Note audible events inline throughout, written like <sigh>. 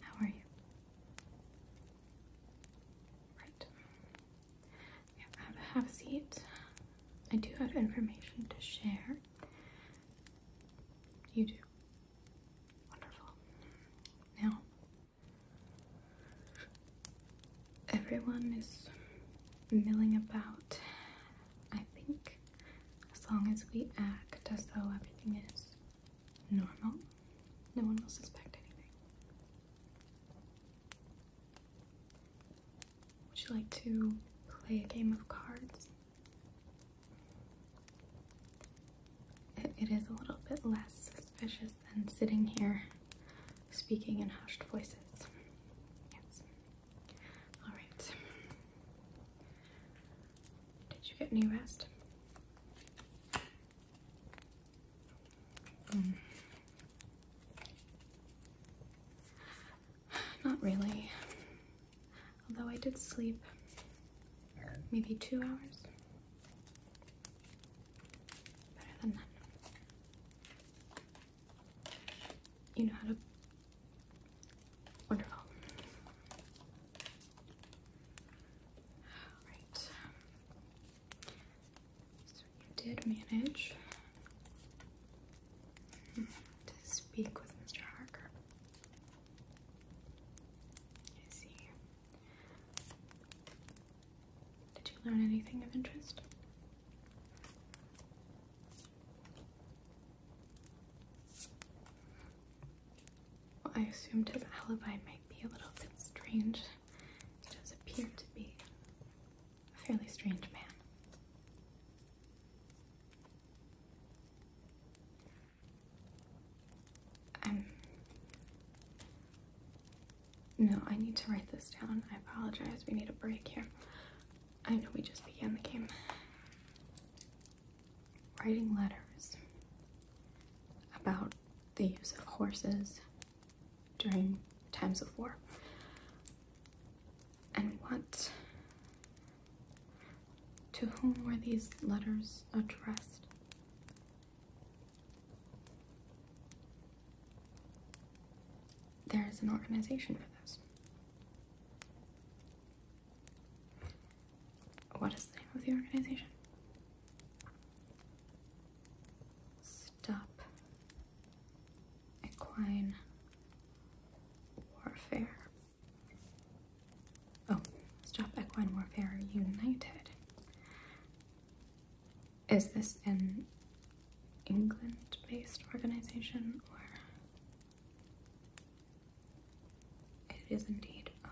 How are you? Right. have a seat. I do have information to share. You do. Wonderful. Now, Everyone is milling about. I think as long as we act as though everything is normal, no one will suspect anything. Would you like to play a game of cards? it is a little bit less suspicious than sitting here speaking in hushed voices. Yes. All right. Did you get any rest? Hmm. Not really. Although I did sleep maybe two hours. Better than none. You know how to. Wonderful. Alright. So you did manage to speak with Mr. Harker. I see. Did you learn anything of interest? I assumed his alibi might be a little bit strange. He does appear to be a fairly strange man i No, I need to write this down. I apologize. We need a break here. I know we just began the game. Writing letters about the use of horses during times of war. And what. To whom were these letters addressed? There is an organization for this. What is the name of the organization? Stop Equine Warfare. Oh, Stop Equine Warfare United. Is this an England based organization or? It is indeed. Um,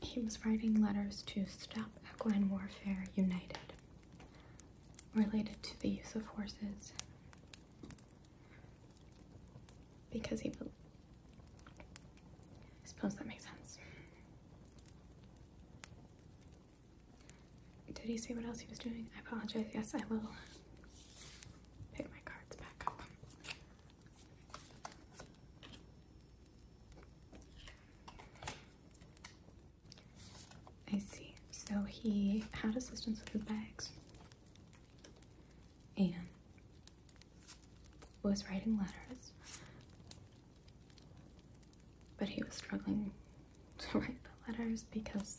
he was writing letters to Stop Equine Warfare United related to the use of horses because he will. I suppose that makes sense. Did he say what else he was doing? I apologize. Yes, I will pick my cards back up. I see. So he had assistance with his bags and was writing letters, but he was struggling to write the letters because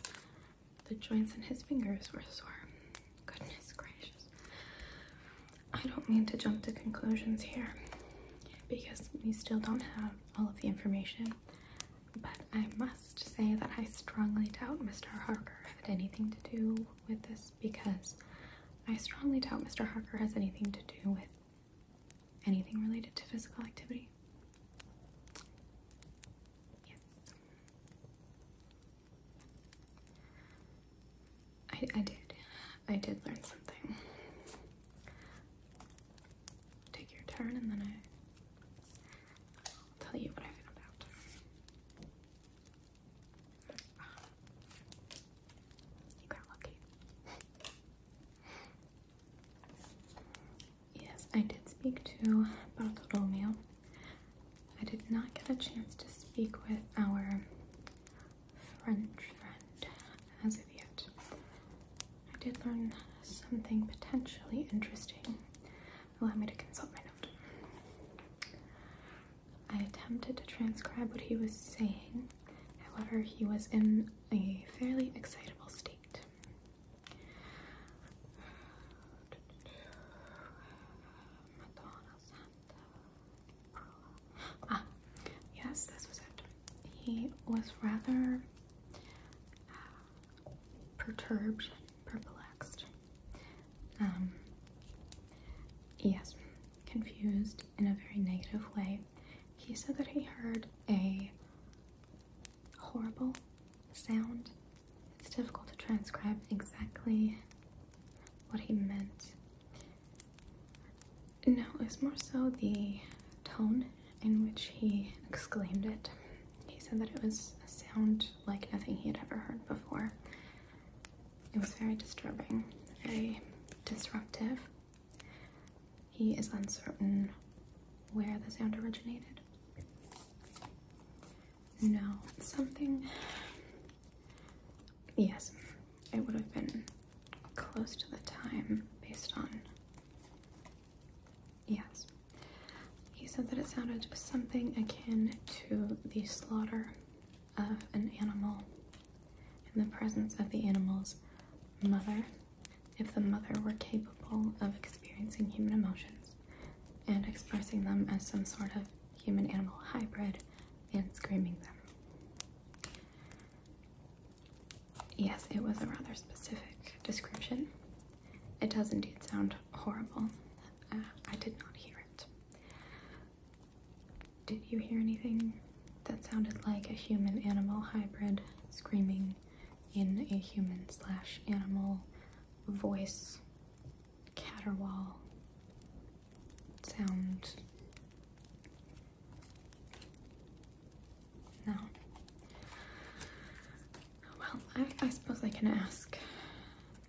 the joints in his fingers were sore. Goodness gracious. I don't mean to jump to conclusions here because we still don't have all of the information, but I must say that I strongly doubt Mr. Harker had anything to do with this because I strongly doubt Mr. Harker has anything to do with anything related to physical activity. Yes. I, I did. I did learn something. Take your turn and then I'll tell you what I found out you got lucky. yes, I did speak to Bartolomeo. I did not get a chance to speak with our French friend as of yet. I did learn something potentially interesting Allow me to consult my note. I attempted to transcribe what he was saying, however, he was in a fairly excitable state. Ah, yes, this was it. He was rather uh, perturbed perplexed, um, yes, confused in a very negative way. He said that he heard a horrible sound. It's difficult to transcribe exactly what he meant. No, it's more so the tone in which he exclaimed it. He said that it was a sound like nothing he had ever heard before. It was very disturbing, very disruptive. He is uncertain where the sound originated. No, something. Yes, it would have been close to the time based on. Yes. He said that it sounded something akin to the slaughter of an animal in the presence of the animal's mother, if the mother were capable of experiencing human emotions and expressing them as some sort of human animal hybrid and screaming them. Yes, it was a rather specific description. It does indeed sound horrible. Uh, I did not hear it. Did you hear anything? That sounded like a human animal hybrid screaming in a human slash animal voice caterwaul sound. No. Well, I suppose I can ask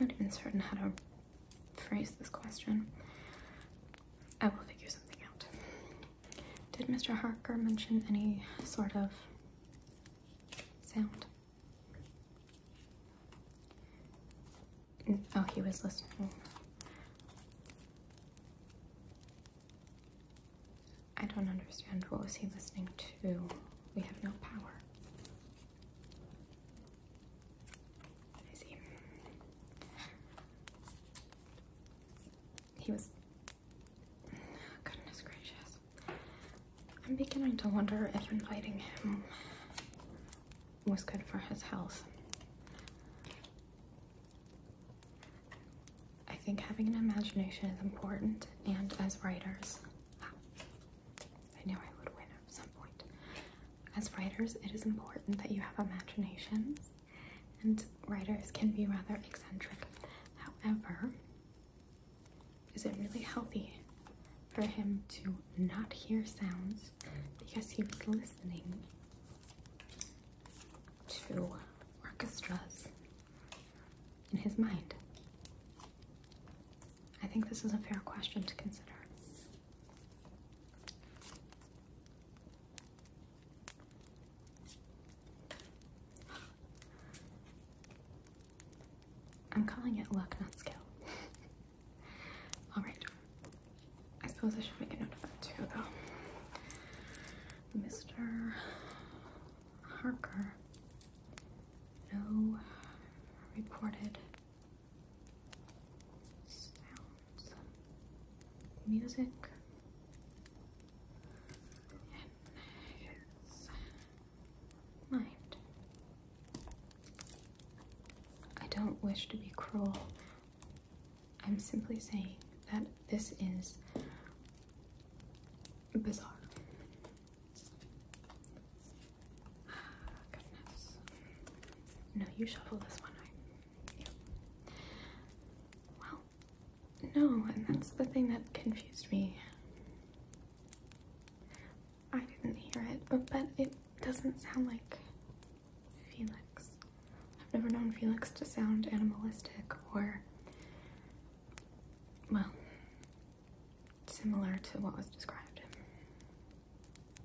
I'm not even certain how to phrase this question. I will figure something out. Did Mr. Harker mention any sort of sound? Oh, he was listening. I don't understand. What was he listening to? We have no power. He was. Goodness gracious. I'm beginning to wonder if inviting him was good for his health. I think having an imagination is important, and as writers, I knew I would win at some point. As writers, it is important that you have imaginations, and writers can be rather eccentric. However, is it really healthy for him to not hear sounds because he was listening to orchestras in his mind? I think this is a fair question to consider. I'm calling it luck, not skill. <laughs> Alright. I suppose I should make a note of that too, though. Mr. Harker. No reported sounds, music, and mind. I don't wish to be cruel. I'm simply saying that this is bizarre. <sighs> No, you shuffle this one. Well, no, and that's the thing that confused me. I didn't hear it, but it doesn't sound like Felix. I've never known Felix to sound animalistic or, well, similar to what was described.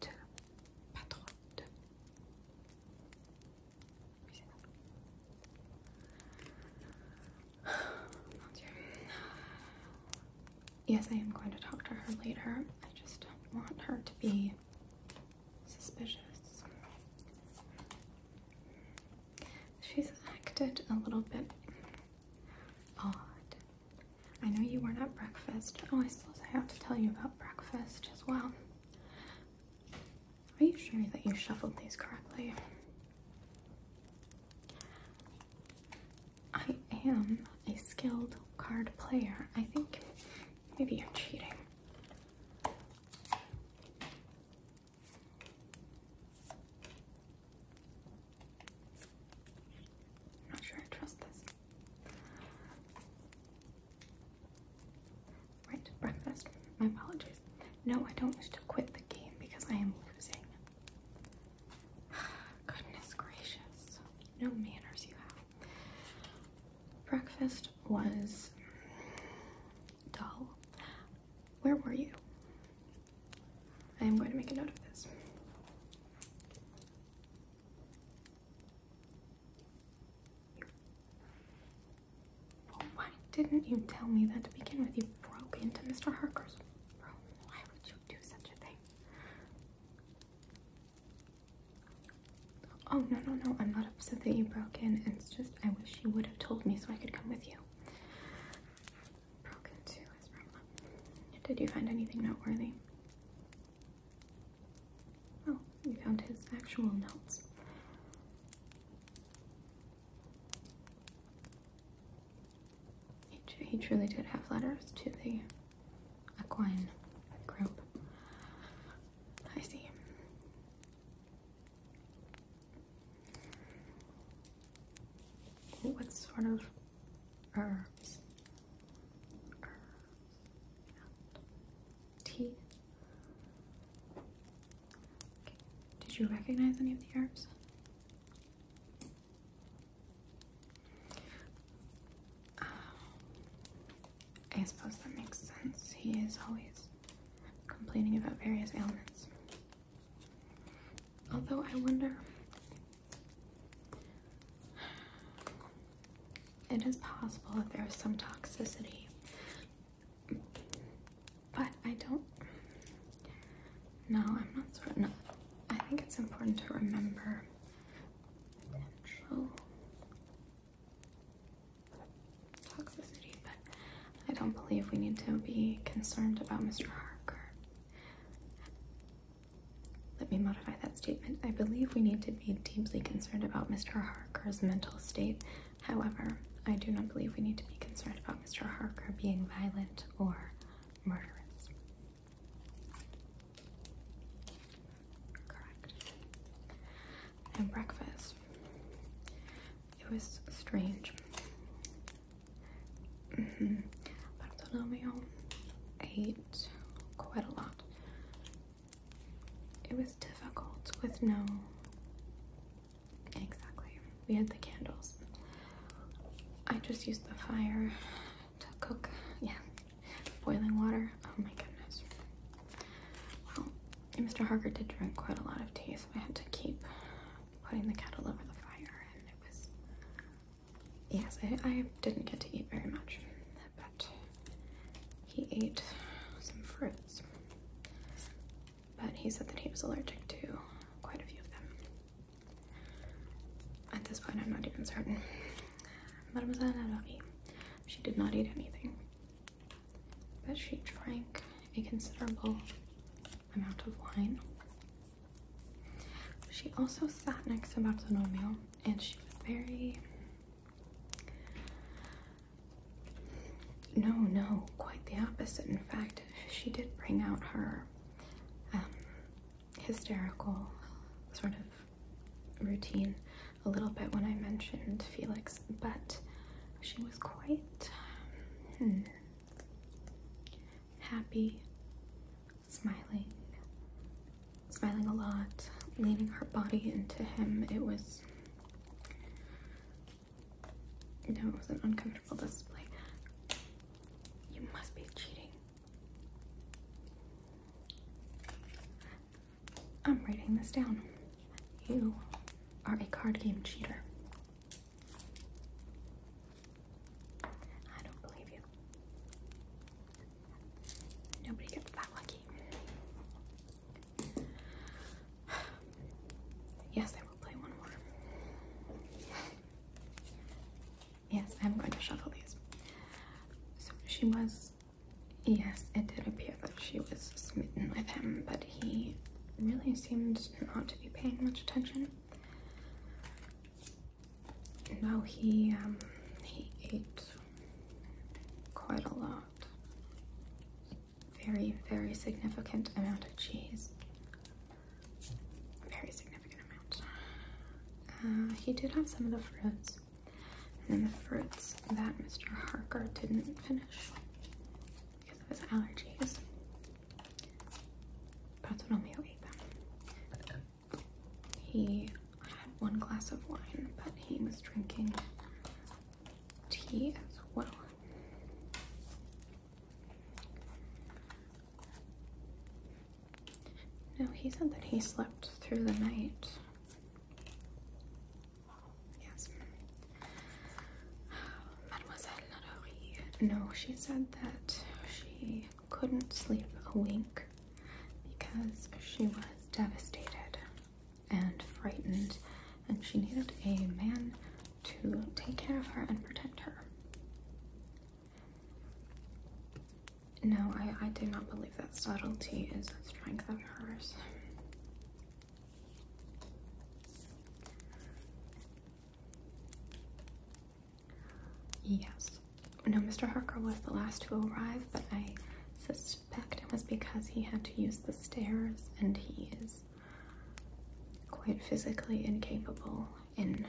2, pas 3, <sighs> 2. Yes, I am going to talk to her later. I just don't want her to be suspicious. She's acted a little bit odd I know you weren't at breakfast. Oh, I suppose I have to tell you about breakfast as well. Are you sure that you shuffled these correctly? I am a skilled card player. I think maybe you're cheating. not sure I trust this. Right, breakfast. My apologies. No, I don't wish to quit the game because I am losing. <sighs> Goodness gracious. No manners you have. Breakfast was dull. Where were you? I am going to make a note of this why didn't you tell me that to begin with? You broke into Mr. Harker's room. Why would you do such a thing? Oh, no, no, no. I'm not upset that you broke in. It's just I wish you would have told me so I could come with you. Broke into his room. Did you find anything noteworthy? Oh, you found his actual notes. He, truly did have letters to the equine group. I see. What sort of herbs, herbs, and tea. Did you recognize any of the herbs? Um, I suppose that makes sense. He is always complaining about various ailments. Although I wonder it is possible that there is some toxicity, but I don't. No, I'm not certain. No, I think it's important to remember toxicity, but I don't believe we need to be concerned about Mr. Harker let me modify that statement. I believe we need to be deeply concerned about Mr. Harker's mental state. However, I do not believe we need to be concerned about Mr. Harker being violent or murderous. Correct. And breakfast. It was strange. Mm -hmm. Bartolomeo ate quite a lot. It was difficult with no. Exactly. We had the candles. I just used the fire to cook. Yeah. Boiling water. Oh my goodness. Well, Mr. Harker did drink quite a lot of tea, so I had to keep putting the kettle over the fire, and it was yes, I, didn't get to eat very much, but he ate some fruits. But he said that he was allergic to quite a few of them. At this point, I'm not even certain. Mademoiselle Alavi, she did not eat anything, but she drank a considerable amount of wine she also sat next to Bartholomew and she was very. No, no, quite the opposite. In fact, she did bring out her um, hysterical sort of routine a little bit when I mentioned Felix, but she was quite. Hmm, happy, smiling, smiling a lot, leaning her body into him. It was no, it was an uncomfortable display. You must be cheating. I'm writing this down. You are a card game cheater. I don't believe you. Nobody gets that lucky. Yes, I will play one more. Yes, I'm going to shuffle these. So she was. Yes, it did appear that she was smitten with him, but he really seemed not to be paying much attention now he um, he ate quite a lot. Very, very significant amount of cheese. Very significant amount. Uh, he did have some of the fruits, and then the fruits that Mr. Harker didn't finish because of his allergies. Bartholomew ate he had one glass of wine, but he was drinking tea as well. No, he said that he slept through the night. Yes. Mademoiselle Lalaurie. No, she said that she couldn't sleep a wink because she was devastated and frightened, and she needed a man to take care of her and protect her. No, I, I do not believe that subtlety is a strength of hers. Yes. No, Mr. Harker was the last to arrive, but I suspect it was because he had to use the stairs and he is quite physically incapable in,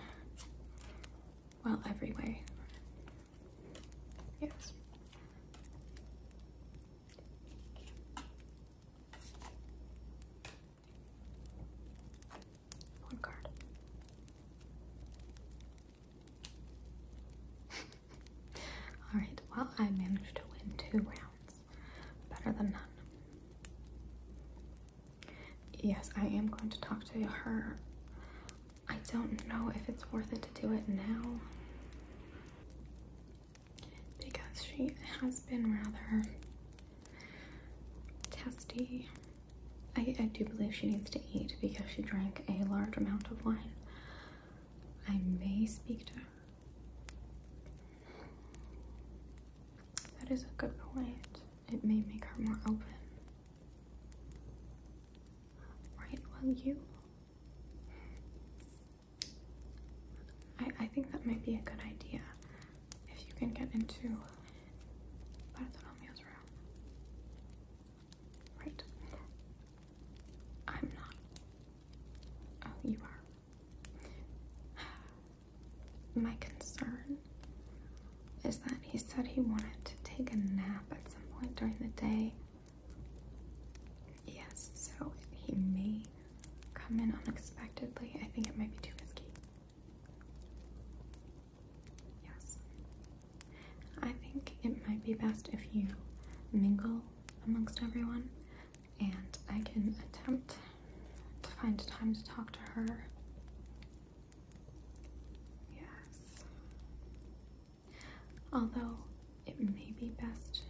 well, every way. Yes. One card. <laughs> Alright, well, I managed to win two rounds. Better than none. Yes, I am going to talk to her. I don't know if it's worth it to do it now. Because she has been rather testy. I, do believe she needs to eat because she drank a large amount of wine. I may speak to her. That is a good point. It may make her more open. Right, well, you. I, I think that might be a good idea if you can get into Right. I'm not. Oh, you are. <sighs> My concern is that he said he wanted to take a nap at some point during the day. Yes, so he may come in unexpectedly. I think it might be too risky. Yes. I think it might be best if you mingle amongst everyone, and I can attempt to find time to talk to her. Yes. Although it may be best.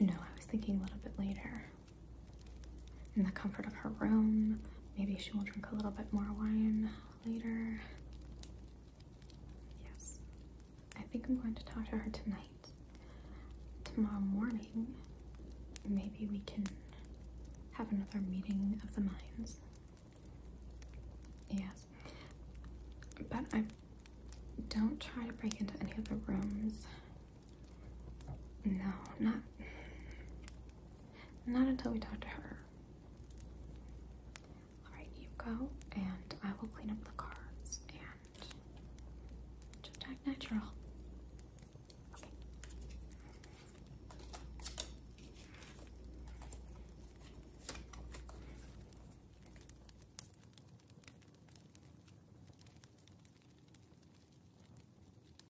No, I was thinking a little bit later in the comfort of her room. Maybe she will drink a little bit more wine later. Yes, I think I'm going to talk to her tonight. Tomorrow morning, maybe we can have another meeting of the minds. Yes, but I don't try to break into any of the rooms. No, not not until we talk to her. Alright, you go, and I will clean up the cards and just natural.